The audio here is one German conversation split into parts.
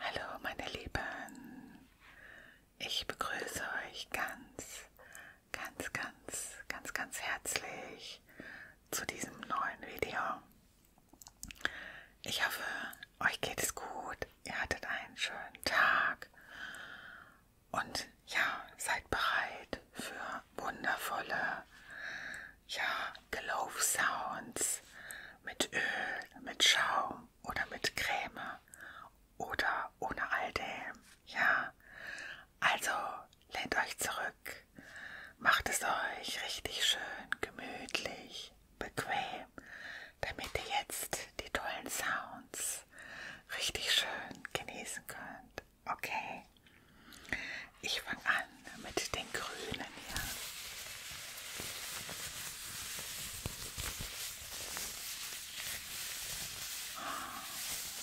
Hallo meine Lieben, ich begrüße euch ganz, ganz, ganz, ganz, ganz herzlich zu diesem neuen Video. Ich hoffe, euch geht es gut. Ihr hattet einen schönen Tag. Und ja, seid bereit für wundervolle ja, Glow Sounds mit Öl, mit Schaum oder mit Creme oder ohne all dem. Ja, also lehnt euch zurück, Macht es euch richtig schön, gemütlich, bequem, damit ihr jetzt die tollen Sounds richtig schön genießen könnt. Okay? Ich fange an mit den Grünen hier.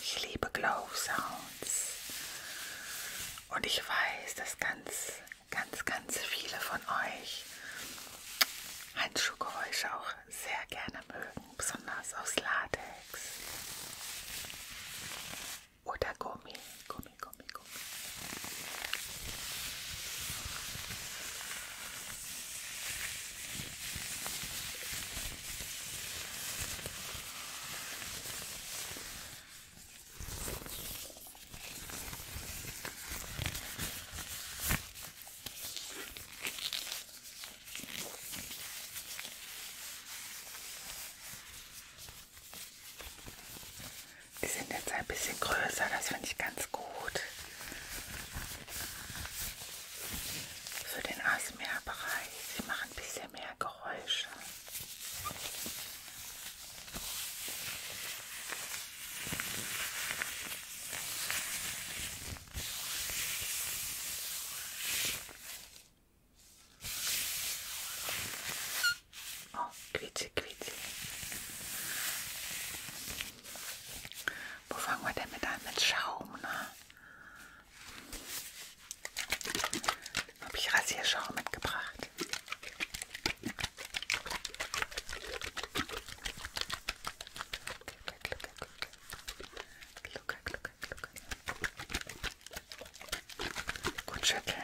Ich liebe Glow Sounds. Und ich weiß, dass ganz, ganz, ganz viele von euch Handschuhgeräusche auch sehr gerne mögen, besonders aus Latex oder Gummi, Gummi, Gummi, Gummi. Die sind jetzt ein bisschen größer, das finde ich ganz gut. Für den ASMR-Bereich. Sie machen ein bisschen mehr Geräusche. Oh, quietsche, quietsche. Wo fangen wir denn mit an? Mit Schaum, ne? habe ich Rasierschaum mitgebracht. Glucke, glucke, glucke. Gut schütteln.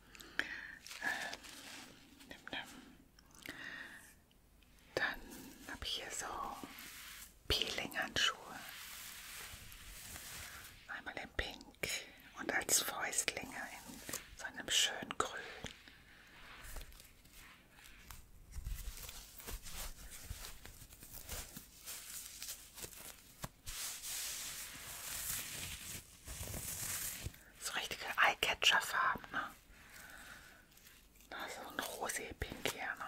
Ähm, dann habe ich hier so Peeling-Handschuhe. Einmal in Pink und als Fäustlinge in so einem schönen Grün. So richtige Eyecatcher-Farben, ne? Das ist so ein rosé-pink hier, ne?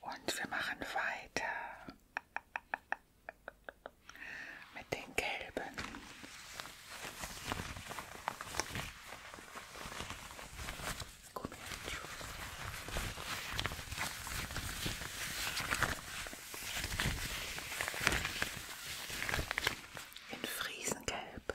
Und wir machen weiter mit den gelben. In Friesengelb.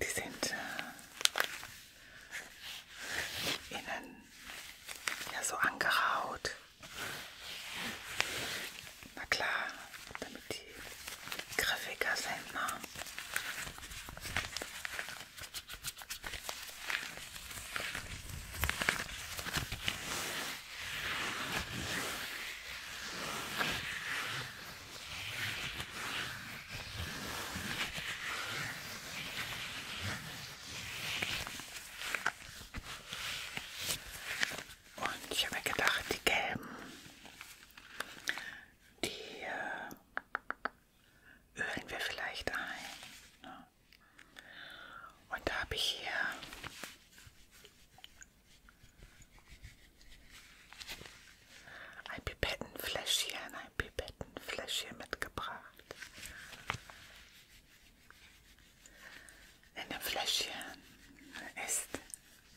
Die sind äh, innen ja so angeraut. Na klar, damit die griffiger sind. Ne? Und ich habe mir gedacht, die gelben, die äh, ölen wir vielleicht ein. Ne? Und da habe ich hier ein Pipettenfläschchen, ein Pipettenfläschchen mitgebracht. In dem Fläschchen ist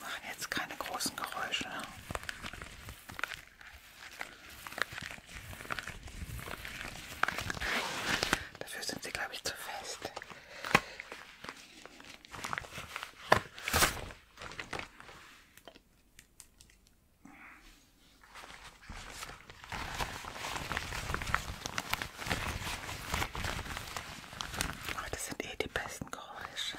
Machen jetzt keine großen Geräusche. Dafür sind sie, glaube ich, zu fest. Aber das sind eh die besten Geräusche.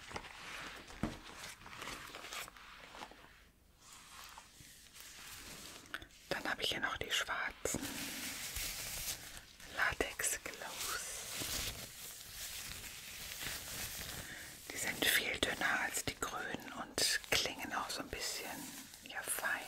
Dann habe ich hier noch die schwarzen Latex Glows. Die sind viel dünner als die grünen und klingen auch so ein bisschen ja, feiner.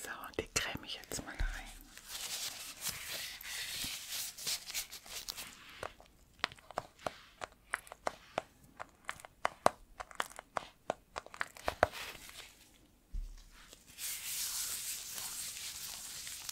So, und die creme ich jetzt mal ein.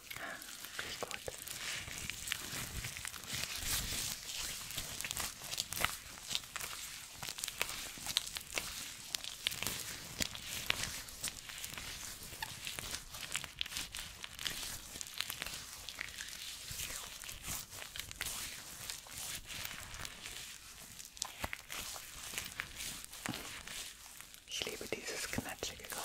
Riecht gut. Ich liebe dieses knatschige Geräusch.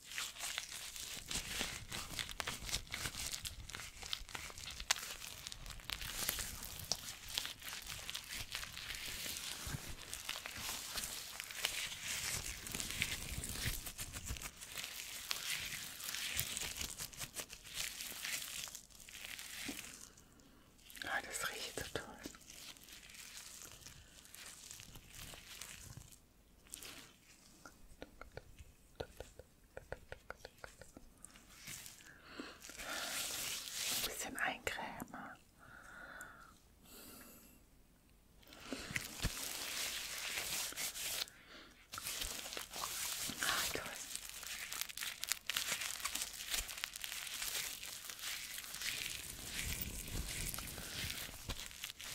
Ah, das riecht so toll. Ein bisschen eincremen. Ah, toll.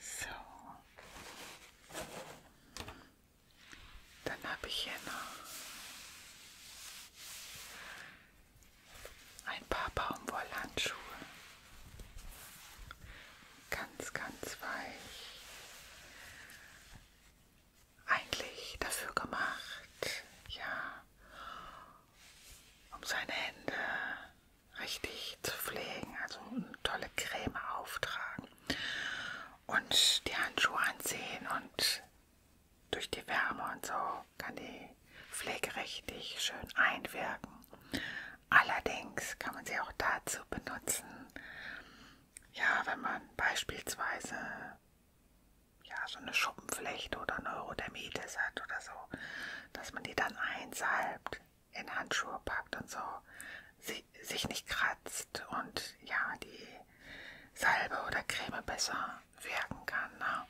So. Dann habe ich hier noch ein paar Baumwollhandschuhe. Ganz, ganz weich. Eigentlich dafür gemacht, ja, um seine Hände richtig zu pflegen, also eine tolle Creme auftragen und die Handschuhe anziehen und durch die Wärme und so kann die Pflege richtig schön einwirken Allerdings kann man sie auch dazu benutzen, ja, wenn man beispielsweise ja, so eine Schuppenflechte oder Neurodermitis hat oder so, dass man die dann einsalbt, in Handschuhe packt und so, sie, sich nicht kratzt und ja, die Salbe oder Creme besser wirken kann. Ne?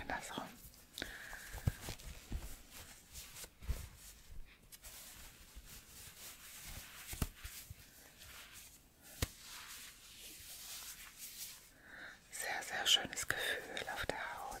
Andersrum. Sehr, sehr schönes Gefühl auf der Haut.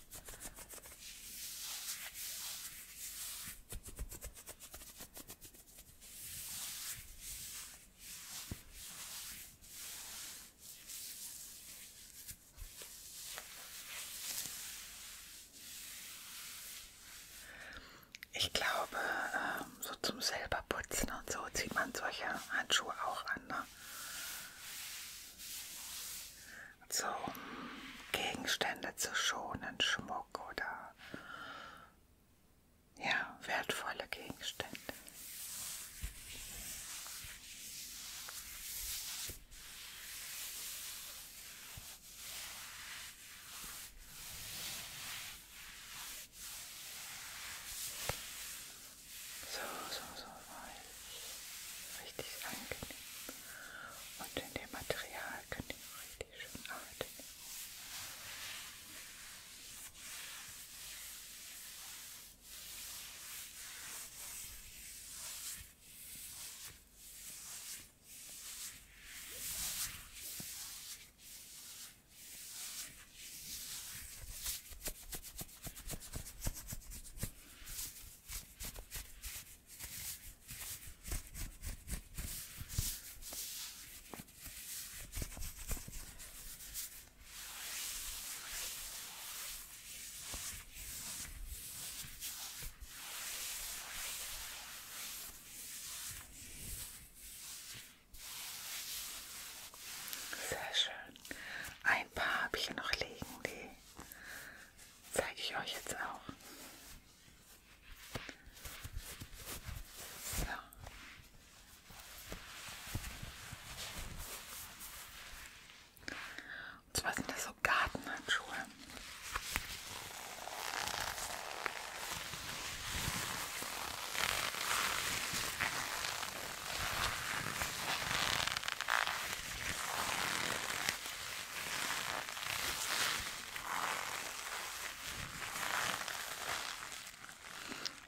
Ich glaube, ähm, so zum selber putzen und so zieht man solche Handschuhe auch an. Ne? so Gegenstände zu schonen, Schmuck oder ja, wertvolle Gegenstände. So, so, so weich. Richtig angenehm. Und in dem Material könnt ihr richtig schön atmen. Und sehr schön. Ein paar habe ich hier noch liegen, die Zeige ich euch jetzt auch. So. Und zwar sind das so Gartenhandschuhe.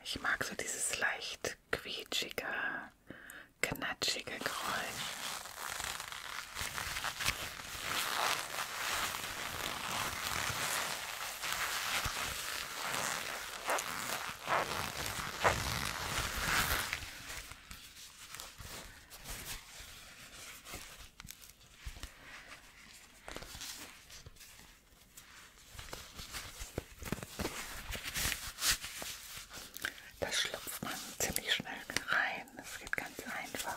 Ich mag so dieses leicht quietschige, knatschige Geräusch. Das schlüpft man ziemlich schnell rein. Das geht ganz einfach.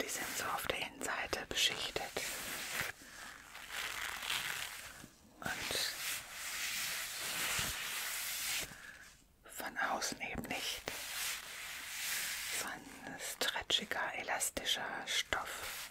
Die sind so auf der Innenseite beschichtet. Und von außen eben nicht. So ein stretchiger, elastischer Stoff.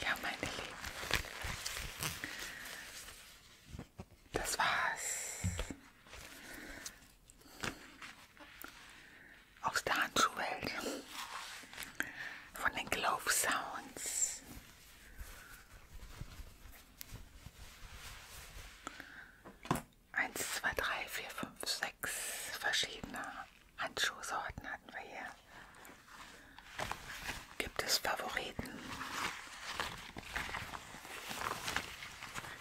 Ja, meine Lieben, das war's aus der Handschuhwelt von den Glove Sounds. 1, 2, 3, 4, 5, 6 verschiedene Handschuhsorten hatten wir hier. Gibt es Favoriten?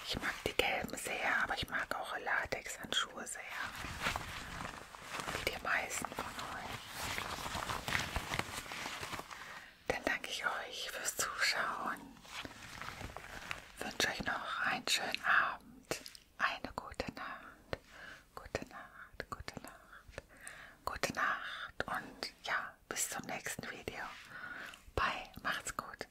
Ich mag die gelben sehr, aber ich mag auch Latex-Handschuhe sehr. Wie die meisten von euch. Dann danke ich euch fürs Zuschauen. Wünsche euch noch einen schönen Abend, eine gute Nacht, gute Nacht, gute Nacht, gute Nacht und ja, bis zum nächsten Video. Bye, macht's gut.